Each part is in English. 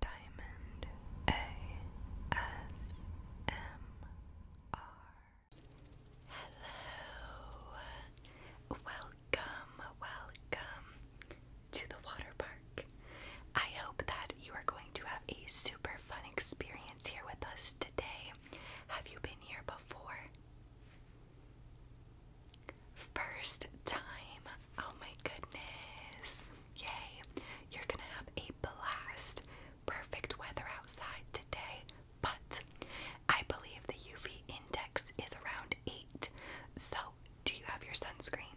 Diamond ASMR. Hello, welcome, welcome to the water park. I hope that you are going to have a super fun experience here with us today. Have you been here before? First time. Oh my goodness. Yay. You're going to have a blast. Perfect weather outside today, but I believe the UV index is around 8. So, do you have your sunscreen?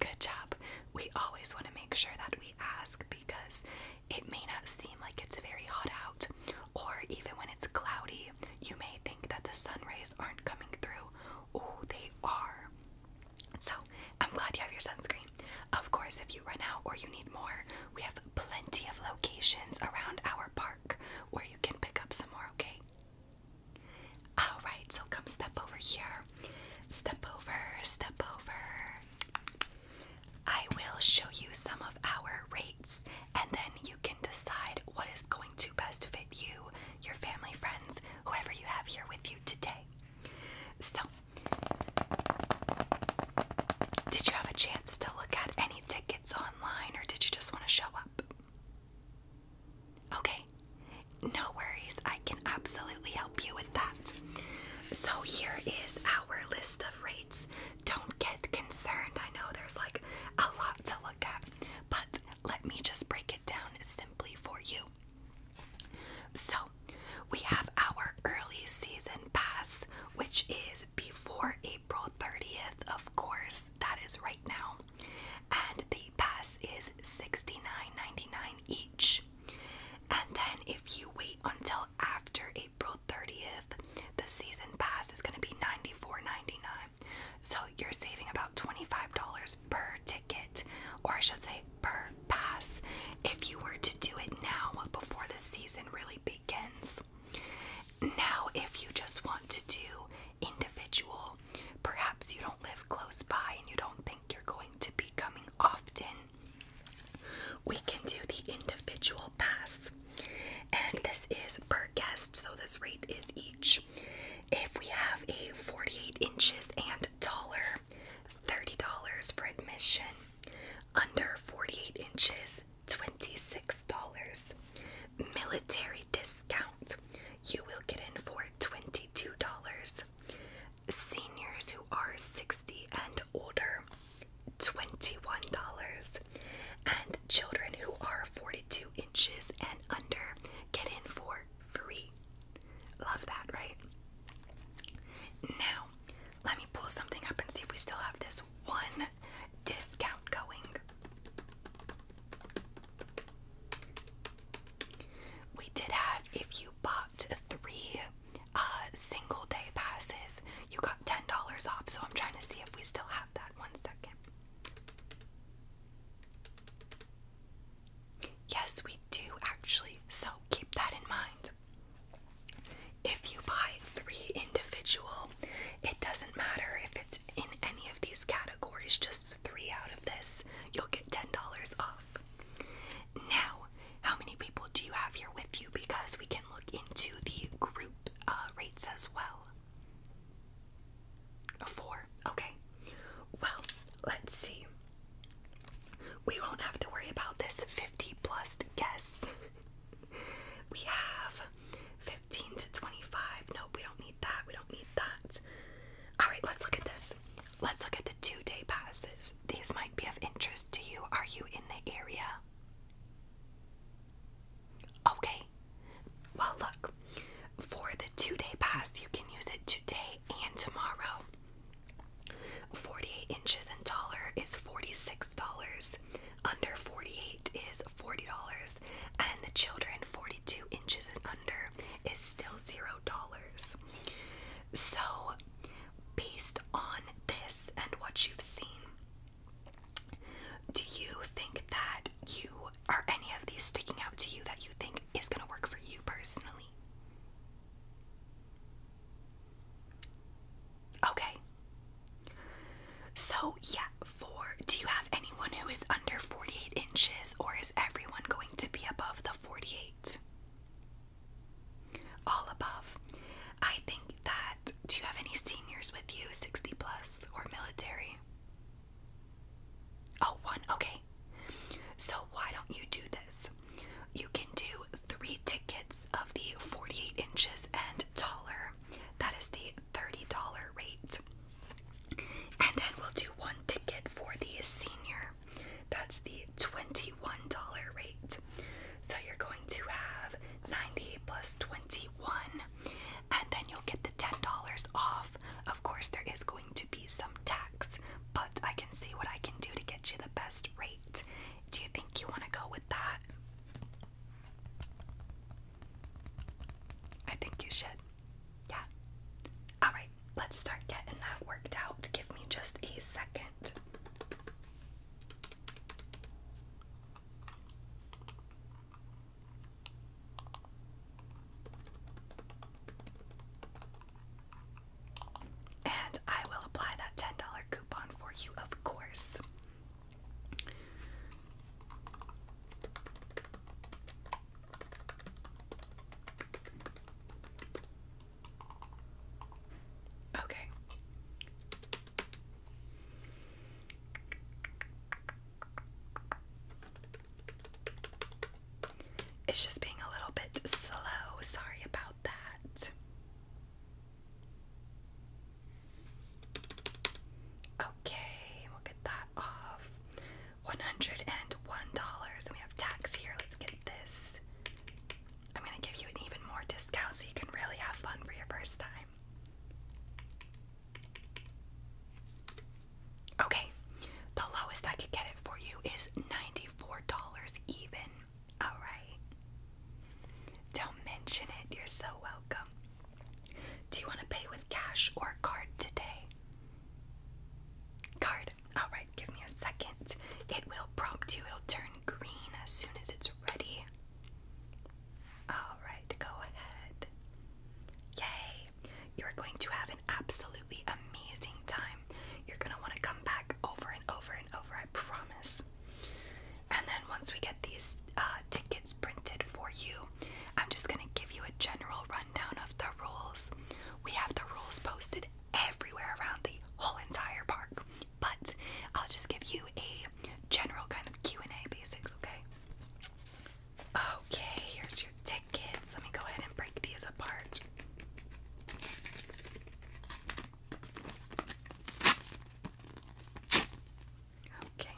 Good job. We always want to make sure that we ask because it may not seem like it's very hot out, or even when it's cloudy, you may think that the sun rays aren't coming through, Oh, they are. So I'm glad you have your sunscreen. Of course, if you run out or you need more, we have plenty of locations around our park where you can pick up some more, okay? Alright, so come step over here. Step over, step over. I will show you some of our rates and then you can decide what is going to best fit you, your family, friends, whoever you have here with you today. So, did you have a chance to look at any tickets online or did you just want to show up? Okay, no worries. I can absolutely help you with that. So, here is our list of rates. Don't get concerned. I know there's like a lot to look but let me just break it down simply for you. So, we have our early season pass, which is before April 30th, of course, that is right now. And the pass is $69.99 each. And then, if you wait until after April 30th, the season pass is going to be $94.99. So you're saving about $25 per ticket, or I should say per pass, if you were to do it now before the season really begins. Now, if you just want to do individual, perhaps you don't live close by and you don't think you're going to be coming often, we can do the individual pass and this is per guest, so this rate is each. If we have a 48 inches and taller, $30 for admission. Under 48 inches, $26. Military discount, you will get in for $22. Seniors who are 60 and older, $21. And children who are 42 inches and under get in for free. Love that, right? Now, let me pull something up and see if we still have this one discount going. We did have if you bought three uh, single day passes, you got $10 off. So I'm trying to see if we still have that. One second. Yes, we do actually, so keep that in mind. If you buy three individual, it doesn't matter if it's in any of these categories, just three out of this, you'll get $10 off. Now, how many people do you have here with you? Because we can look into the group uh, rates as well. A four. Okay. Well, let's see. We won't have to worry about this 50 plus guests. we have 15 to 25. Nope, we don't need that. We don't need that. All right, let's look at this. Let's look at the two day passes. These might be of interest to you. Are you in the area? Okay. Well, look. For the two day pass, you can use it today and tomorrow. 48 inches and taller is $46. Under 48 is $40. And the children 42 inches and under is still $0. So, based on this and what you've seen, do you think that you are any of these sticking out to you that you think is going to work for you personally? Okay. So, yeah, for do you have anyone who is under 48 inches or is everyone going to be above the 48? All above. I think that. Do you have any seniors with you, 60 plus, or military? Oh, one. Okay. So why don't you do this? You can do three tickets of the 48 inches and taller. That is the $30 rate. And then we'll do one ticket for the senior. That's the $21 rate. So you're going to have ninety plus 21, and then you'll get the $10 off. Of course, there is going to be some tax, but I can see what I can do to get you the best rate. Do you think you want to go with that? I think you should. Yeah. Alright, let's start getting that worked out. Give me just a second. And I will apply that $10 coupon for you, of course. Okay. It's just being a little bit slow. Sorry about that. Okay, we'll get that off. $101. we have tax here. Let's get this. I'm going to give you an even more discount so you can really have fun for your first time. Okay, the lowest I could get it for you is $94 even. Alright. Don't mention it, you're so welcome. Do you want to pay with cash or card today? Card. Alright, give me a second. It will prompt you, it'll turn green as soon as it's ready. Alright, go ahead. Yay! You're going to have an absolutely amazing time. You're going to want to come back over and over and over, I promise. And then once we get these uh, tickets printed for you, I'm just going to give you a general rundown of the rules. We have the rules posted everywhere around the whole entire park. But I'll just give you a general kind of Q&A basics, okay? Okay, here's your tickets. Let me go ahead and break these apart. Okay,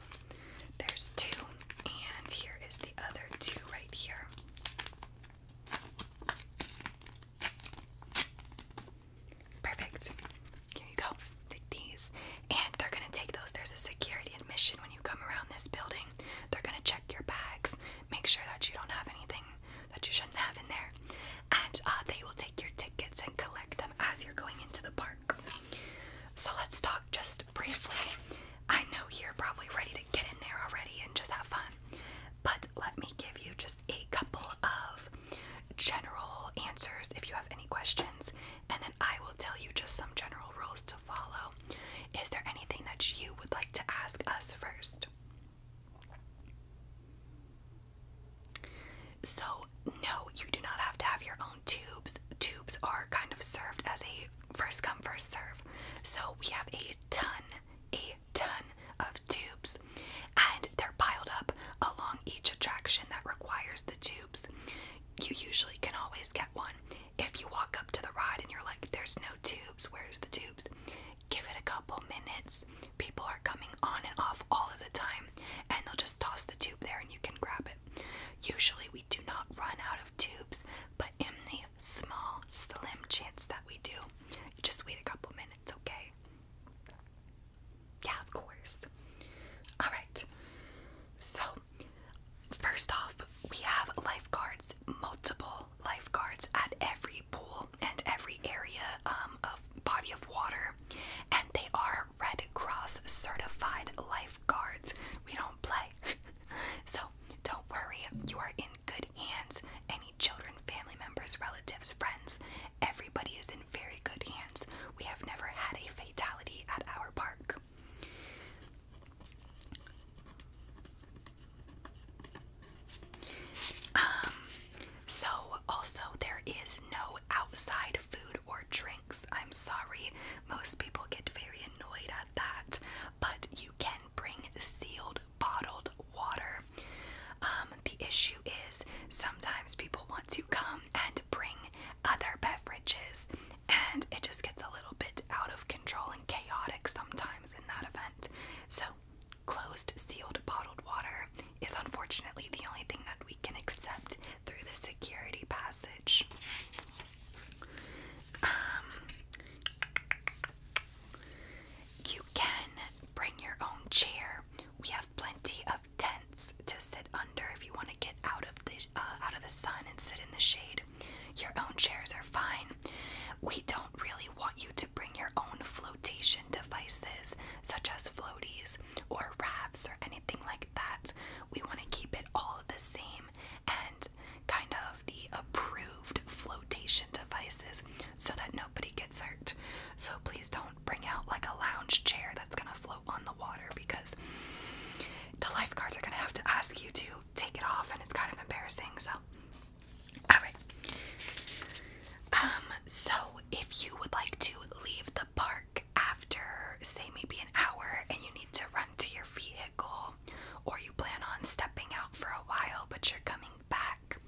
there's two, and here is the other two right here. Perfect. Here you go. Take these. And they're going to take those. There's a security admission when you come around this building. They're going to check your bags, make sure that you don't have anything that you shouldn't have in there. And uh, they will take your tickets and collect them as you're going into the park. So let's talk just briefly. I know you're probably ready to get in there already and just have fun, but let me give you just a couple of general answers if you have any questions, and then I will tell you just some general rules to follow. Is there anything that you would like to ask us first? So, no, you do not have to have your own tubes. Tubes are kind of served as a first come, first serve. So, we have a ton a ton of tubes, and they're piled up along each attraction that requires the tubes. You usually can always get one. If you walk up to the ride and you're like, there's no tubes, where's the tubes? Give it a couple minutes. People are coming on and off all of the time, and they'll just toss the tube there and you can grab it. Usually, we do not run out of tubes, but in the small, slim chance that we do, just wait a couple minutes, okay? Yeah, of course. All right. So, first off, we have lifeguards, multiple lifeguards at every pool and every area um, of body of water, and they are Red Cross certified lifeguards. We don't play, so don't worry. You are in good hands. Any children, family members, relatives, friends, everybody is in very good hands. We have never had a fatality at our park. Um, so, also, there is no outside food or drinks. I'm sorry, most people get very annoyed at that, but you can bring sealed bottled water. Um, the issue is sometimes people want to come and bring other beverages, and it just gets a little bit out of control and chaotic sometimes in that event. So, closed sealed bottled water is unfortunately the only thing that we can accept through the security passage. Um, you can bring your own chair. We have plenty of tents to sit under if you want to get out of the uh, out of the sun and sit in the shade. Your own chairs are fine. We don't really want you to bring your own flotation devices such as floaties or rafts or anything like that. We want to keep it all the same and kind of the approved flotation devices so that nobody gets hurt. So please don't bring out like a lounge chair that's gonna float on the water because the lifeguards are gonna have to ask you to take it off and it's kind of embarrassing. So, alright. Um, so if you would like to leave the park after, say, maybe an hour and you need to run to your vehicle, or you plan on stepping out for a while but you're coming back.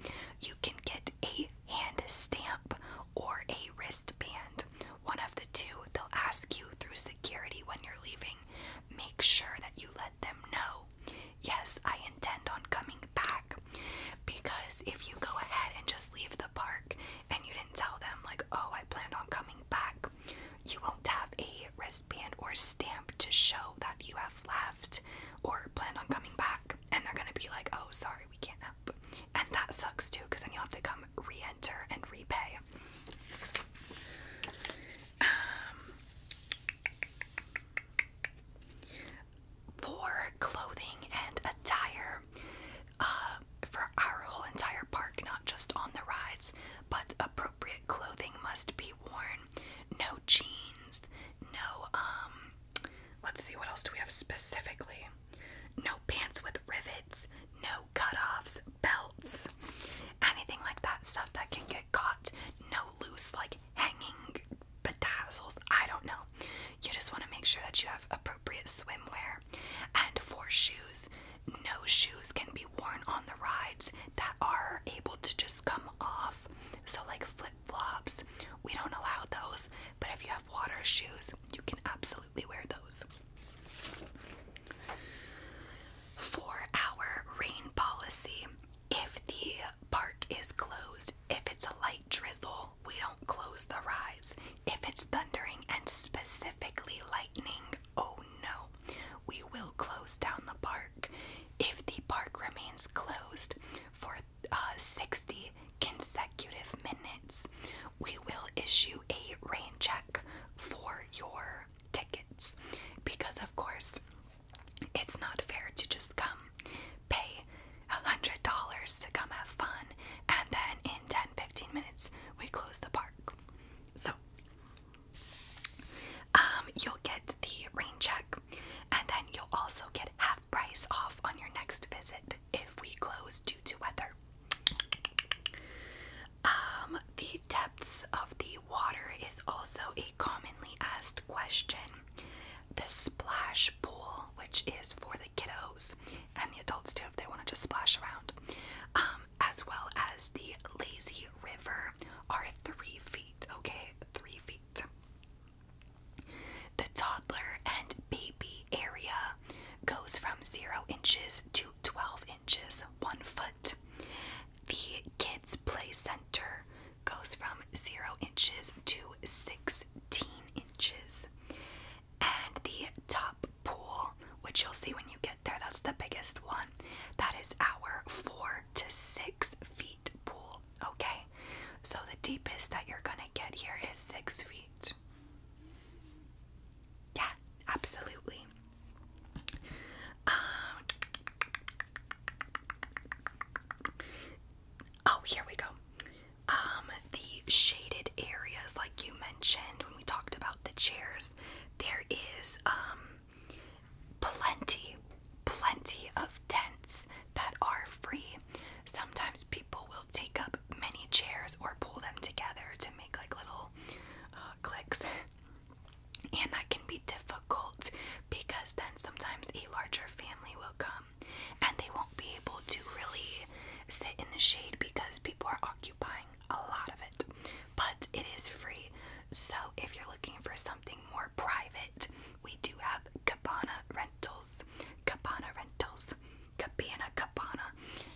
You can get a hand stamp or a wristband. One of the two, they'll ask you through security when you're leaving. Make sure that you let them know. Yes, I intend on coming back. Because if you go ahead and just leave the park and you didn't tell them, like, oh, I planned on coming back, you won't have a wristband or stamp to show that you have left or planned on coming back and they're gonna be like, oh, sorry, we can't help. And that sucks too because then you have to come re enter and repay. Um, for clothing and attire uh, for our whole entire park, not just on the rides, but appropriate clothing must be worn no jeans, no, um, let's see, what else do we have specifically? No pants with rivets, no cutoffs, belts, anything like that stuff that can get caught, no loose, like hanging bedazzles. I don't know. You just want to make sure that you have appropriate swimwear. And for shoes, no shoes can be worn on the rides that are able to just come off. So, like flip flops, we don't allow those, but if you have water shoes, you can absolutely wear those. Four hour rain policy. If the park is closed, if it's a light drizzle, we don't close the rides. If it's thundering and specifically lightning, oh no, we will close down the park if the park remains closed for uh, 60 consecutive minutes. We will issue a rain check for your tickets because, of course, it's not fair to just come pay $100 to come have fun and then in 10 15 minutes we close the park. So, um, you'll get the rain check, and then you'll also get half price off on your next visit if we close due to weather. Um, the depths of the water is also a commonly asked question. The splash pool, which is for the kiddos and the adults too, if they want to just splash around. Um, as well as the lazy river are three feet, okay? Three feet. The toddler and baby area goes from zero inches to 12 inches, one foot. The kids' play center goes from zero inches to 16 inches. And the top pool, which you'll see when you get there, that's the biggest one, that is our four to six feet pool, okay? So the deepest that you're gonna get here is six feet. Yeah, absolutely. Um, oh, here we go. Um, the shaded areas, like you mentioned when we talked about the chairs, there is um, plenty, plenty of tents that are free. Sometimes people will take up many chairs or pull them together to make like little uh, clicks. And that can be difficult because then sometimes a larger family will come and they won't be able to really sit in the shade because people are occupying a lot of it, but it is free. So if you're looking for something more private, we do have cabana rentals, cabana rentals, cabana, cabana,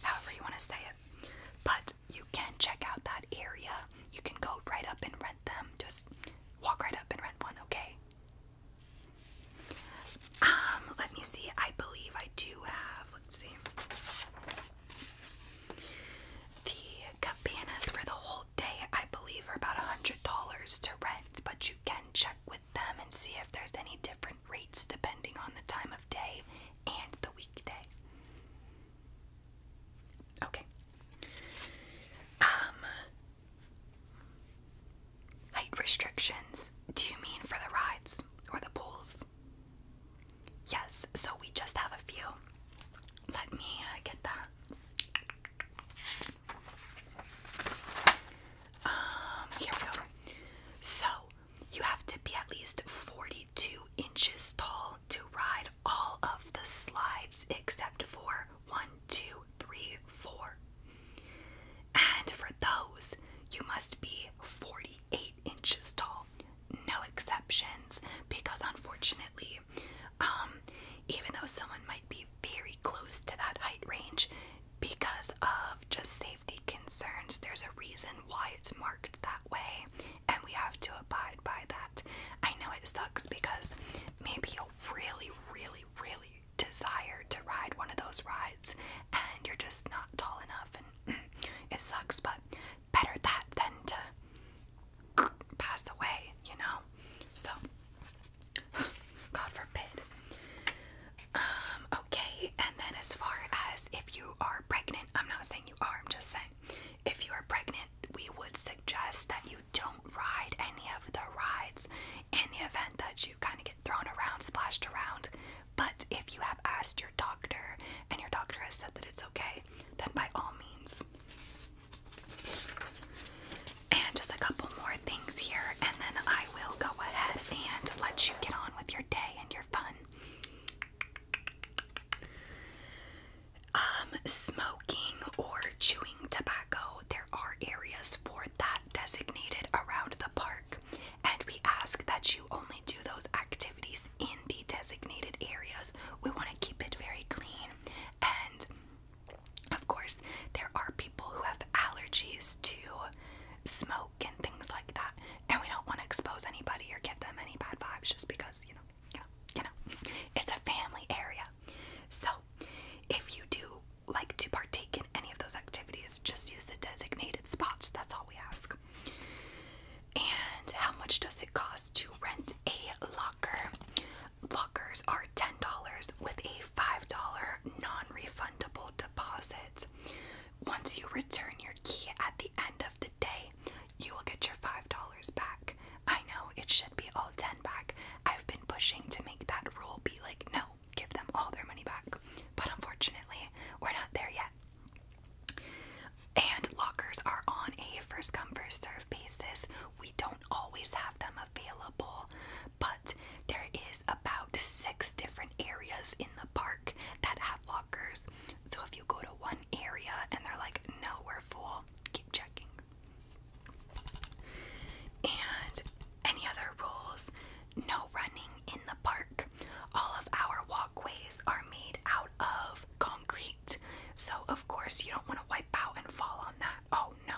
however you want to say it. But you can check out that area. You can go right up and rent them. Just walk right up and rent one, okay? Um, let me see. I believe I do have, let's see. The cabanas for the whole day, I believe, are about $100 to rent, but you can check with them and see if there's any different rates depending on the time of day and the weekday. Okay. Um, height restrictions. Do you mean for the rides or the pools? Yes, so we just have a few. Let me get that. Um, here we go. So, you have to be at least 42 inches tall to ride all of the slides except for one, two, three, four. And for those, you must be 48 inches tall no exceptions, because unfortunately, um, even though someone might be very close to that height range, because of just safety concerns, there's a reason why it's marked that way, and we have to abide by that. I know it sucks because maybe you really, really, really desire to ride one of those rides, and you're just not tall enough and it sucks, but better that than to pass away, you know? So, God forbid. Um, okay, and then as far as if you are pregnant, I'm not saying you are, I'm just saying if you are pregnant, we would suggest that you don't ride any of the rides in the event that you kind of get thrown around, splashed around. But if you have asked your doctor and your doctor has said that it's okay, then by all means. And just a couple more things here, and then I will go ahead and let you get on with your day and your fun. Um, smoking or chewing tobacco, there are areas for that designated around the park and we ask that you only do those activities in the designated areas. We want to keep it very clean and of course, there are people who have allergies to smoke and things like that, and we don't want to expose anybody or give them any bad vibes just because, you know, you know, you know, it's a family area. So, if you do like to partake in any of those activities, just use the designated spots. That's all we ask. And how much does it cost to rent a locker? Lockers are $10 with a $5 non refundable deposit. Once you return your key at the end of the day, you will get your $5 back. I know it should be all 10 back. I've been pushing to make that rule be like, no, give them all their money back. But unfortunately, we're not there yet. And lockers are on a first come, first serve basis. We don't always have them available, but there is about six different areas in the park that have lockers. So if you go to one area and they're like, no, we're full, keep checking. And any other rules? No running, in the park. All of our walkways are made out of concrete, so of course, you don't want to wipe out and fall on that. Oh no.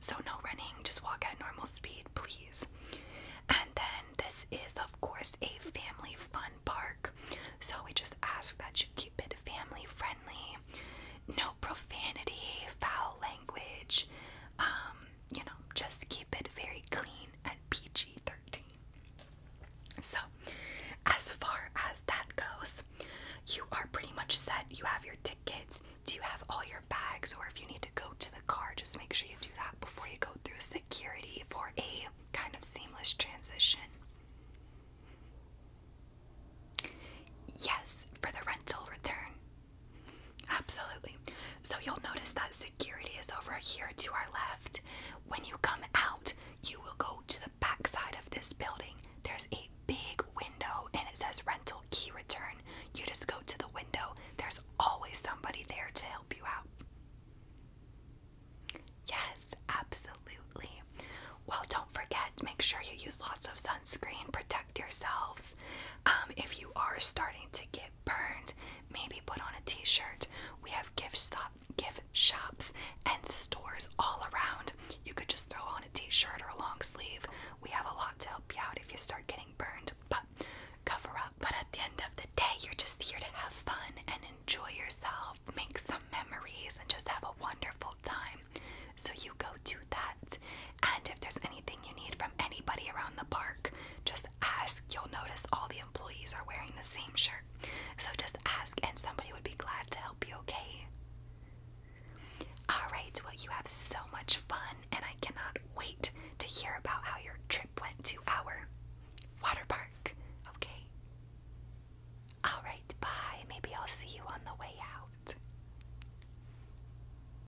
So, no running, just walk at normal speed, please. And then, this is, of course, a family fun park, so we just ask that you keep it family friendly. No profanity, foul language, um, you know, just keep it very clean and peachy 13. So, as far as that goes, you are pretty much set. You have your tickets. Do you have all your bags? Or if you need to go to the car, just make sure you do that before you go through security for a kind of seamless transition. Yes, for the rental return. Absolutely. So you'll notice that security is over here to our left. When you come out, you will go to the back side of this building. There's a big window and it says rental key return. You just go to the window. There's always somebody there to help you out. Yes, absolutely. Well, don't forget, make sure you use lots of sunscreen, protect yourselves. Um, if you are starting to get burned, maybe put on a t-shirt. We have gift stop gift shops and stores all around. You could just throw on a t-shirt or a long sleeve. We have a lot to help you out if you start getting burned, but cover up. But at the end of the day, you're just here to have fun and enjoy yourself, make some memories and just have a wonderful time. So you go do that and if there's anything you need from anybody around the park, just ask. You'll notice all the employees are wearing the same shirt. So just ask, and somebody would be glad to help you, okay? Alright, well, you have so much fun, and I cannot wait to hear about how your trip went to our water park, okay? Alright, bye. Maybe I'll see you on the way out.